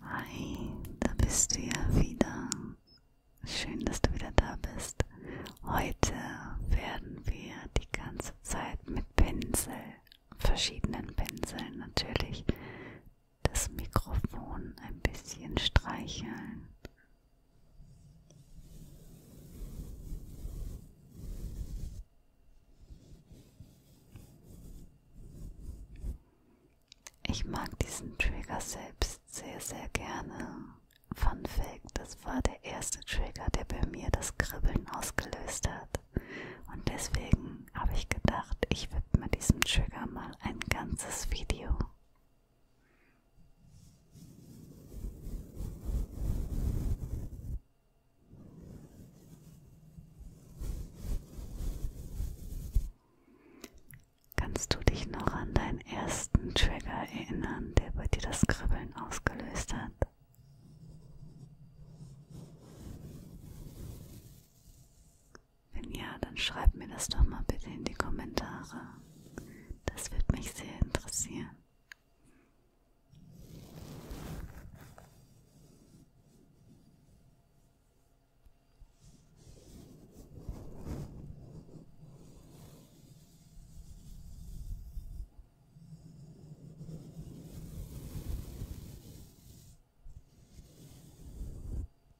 Hi, da bist du ja wieder. Schön, dass du wieder da bist. Heute werden wir die ganze Zeit mit Pinsel, verschiedenen Pinseln natürlich, das Mikrofon ein bisschen streicheln. Ich mag diesen Trigger selbst sehr, sehr gerne. Fun Fact, das war der erste Trigger, der bei mir das Kribbeln ausgelöst hat. Und deswegen habe ich gedacht, ich widme diesem Trigger mal ein ganzes Video. Kannst du dich noch an deinen ersten Trigger erinnern, der bei dir das Kribbeln ausgelöst hat? Wenn ja, dann schreib mir das doch mal bitte in die Kommentare. Das wird mich sehr interessieren.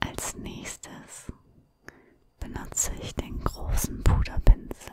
Als nächstes benutze ich den großen Puderpinsel.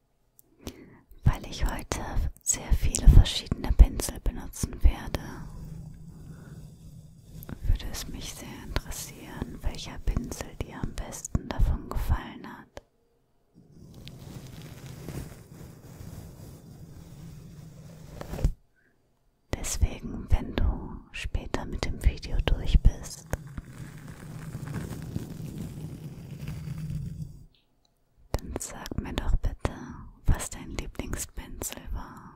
weil ich heute sehr viele verschiedene Pinsel benutzen werde. Würde es mich sehr interessieren, welcher Pinsel dir am besten davon gefallen hat. Deswegen, wenn du später mit dem Video durch bist, dann sag mir doch bitte, was dein Lieblingspinsel war.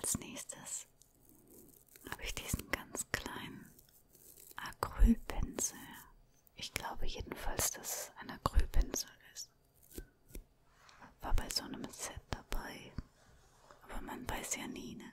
Als nächstes habe ich diesen ganz kleinen Acrylpinsel. Ich glaube jedenfalls, dass es ein Acrylpinsel ist. War bei so einem Set dabei. Aber man weiß ja nie, ne?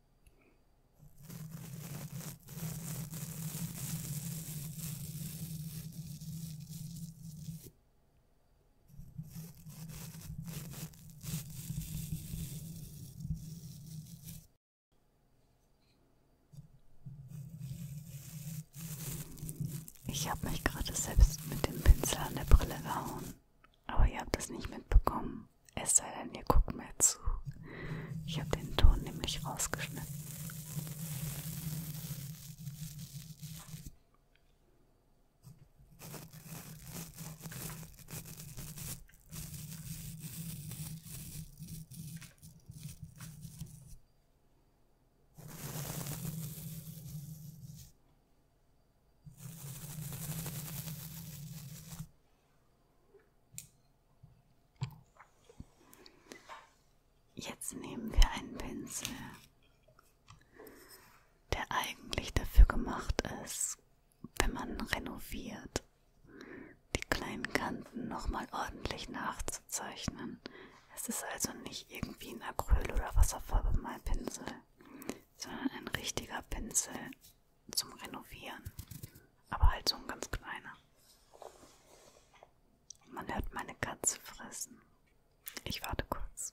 Ich habe mich gerade selbst mit dem Pinsel an der Brille gehauen aber ihr habt das nicht mitbekommen. Es sei denn, ihr guckt mir zu. Ich habe den Ton nämlich rausgeschnitten. Jetzt nehmen wir einen Pinsel, der eigentlich dafür gemacht ist, wenn man renoviert, die kleinen Kanten nochmal ordentlich nachzuzeichnen. Es ist also nicht irgendwie ein Acryl- oder Wasserfarbe-Malpinsel, sondern ein richtiger Pinsel zum Renovieren. Aber halt so ein ganz kleiner. Man hört meine Katze fressen. Ich warte kurz.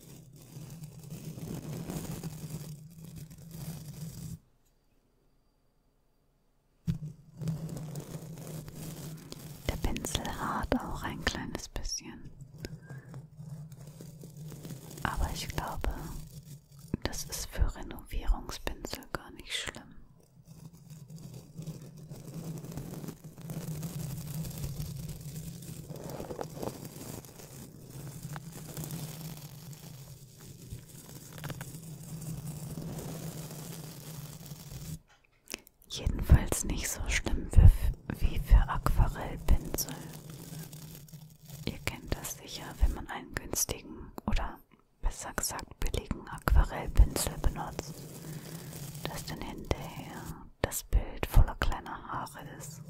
Der Pinsel hart auch ein kleines bisschen. Aber ich glaube, das ist für Renovierungspinsel gar nicht schlimm. Jedenfalls nicht so schlimm wie für Aquarellpinsel. Ihr kennt das sicher, wenn man einen günstigen oder besser gesagt billigen Aquarellpinsel benutzt, dass dann hinterher das Bild voller kleiner Haare ist.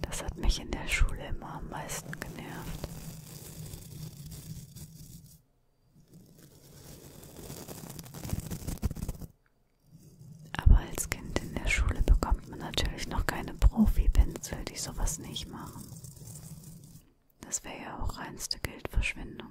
Das hat mich in der Schule immer am meisten genervt. Aber als Kind in der Schule bekommt man natürlich noch keine Profi-Pinsel, die sowas nicht machen. Das wäre ja auch reinste Geldverschwendung.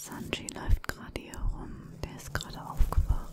Sanji läuft gerade hier rum, der ist gerade aufgewacht.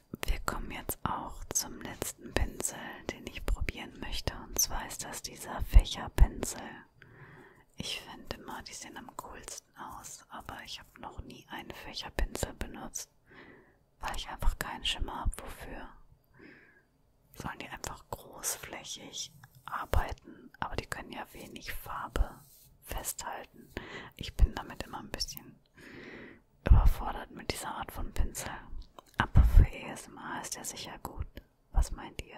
wir kommen jetzt auch zum letzten Pinsel, den ich probieren möchte. Und zwar ist das dieser Fächerpinsel. Ich finde immer, die sehen am coolsten aus, aber ich habe noch nie einen Fächerpinsel benutzt, weil ich einfach keinen Schimmer habe, wofür. Sollen die einfach großflächig arbeiten, aber die können ja wenig Farbe festhalten. Ich bin damit immer ein bisschen überfordert mit dieser Art von Pinsel. Aber für ESMA ist er sicher gut. Was meint ihr?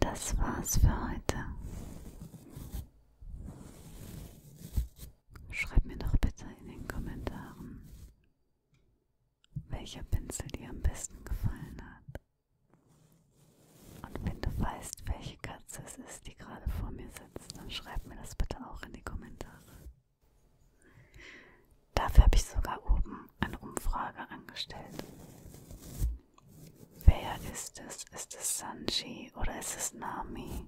Das war's für heute. Schreibt mir doch bitte in den Kommentaren, welcher Pinsel dir am besten gefallen hat. Und wenn du weißt, welche Katze es ist, die gerade vor mir sitzt, dann schreib mir das bitte auch in die Kommentare. Dafür habe ich sogar oben eine Umfrage angestellt. Wer ist es? Ist es Sanji oder ist es Nami?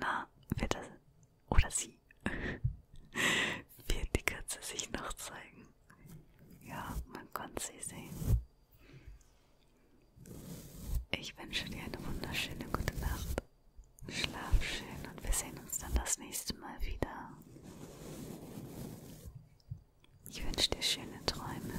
Na, wird das oder sie? wird die Katze sich noch zeigen? Ja, man konnte sie sehen. Ich wünsche dir eine wunderschöne gute Nacht. Schlaf schön und wir sehen uns dann das nächste Mal wieder. Ich wünsche dir schöne Träume.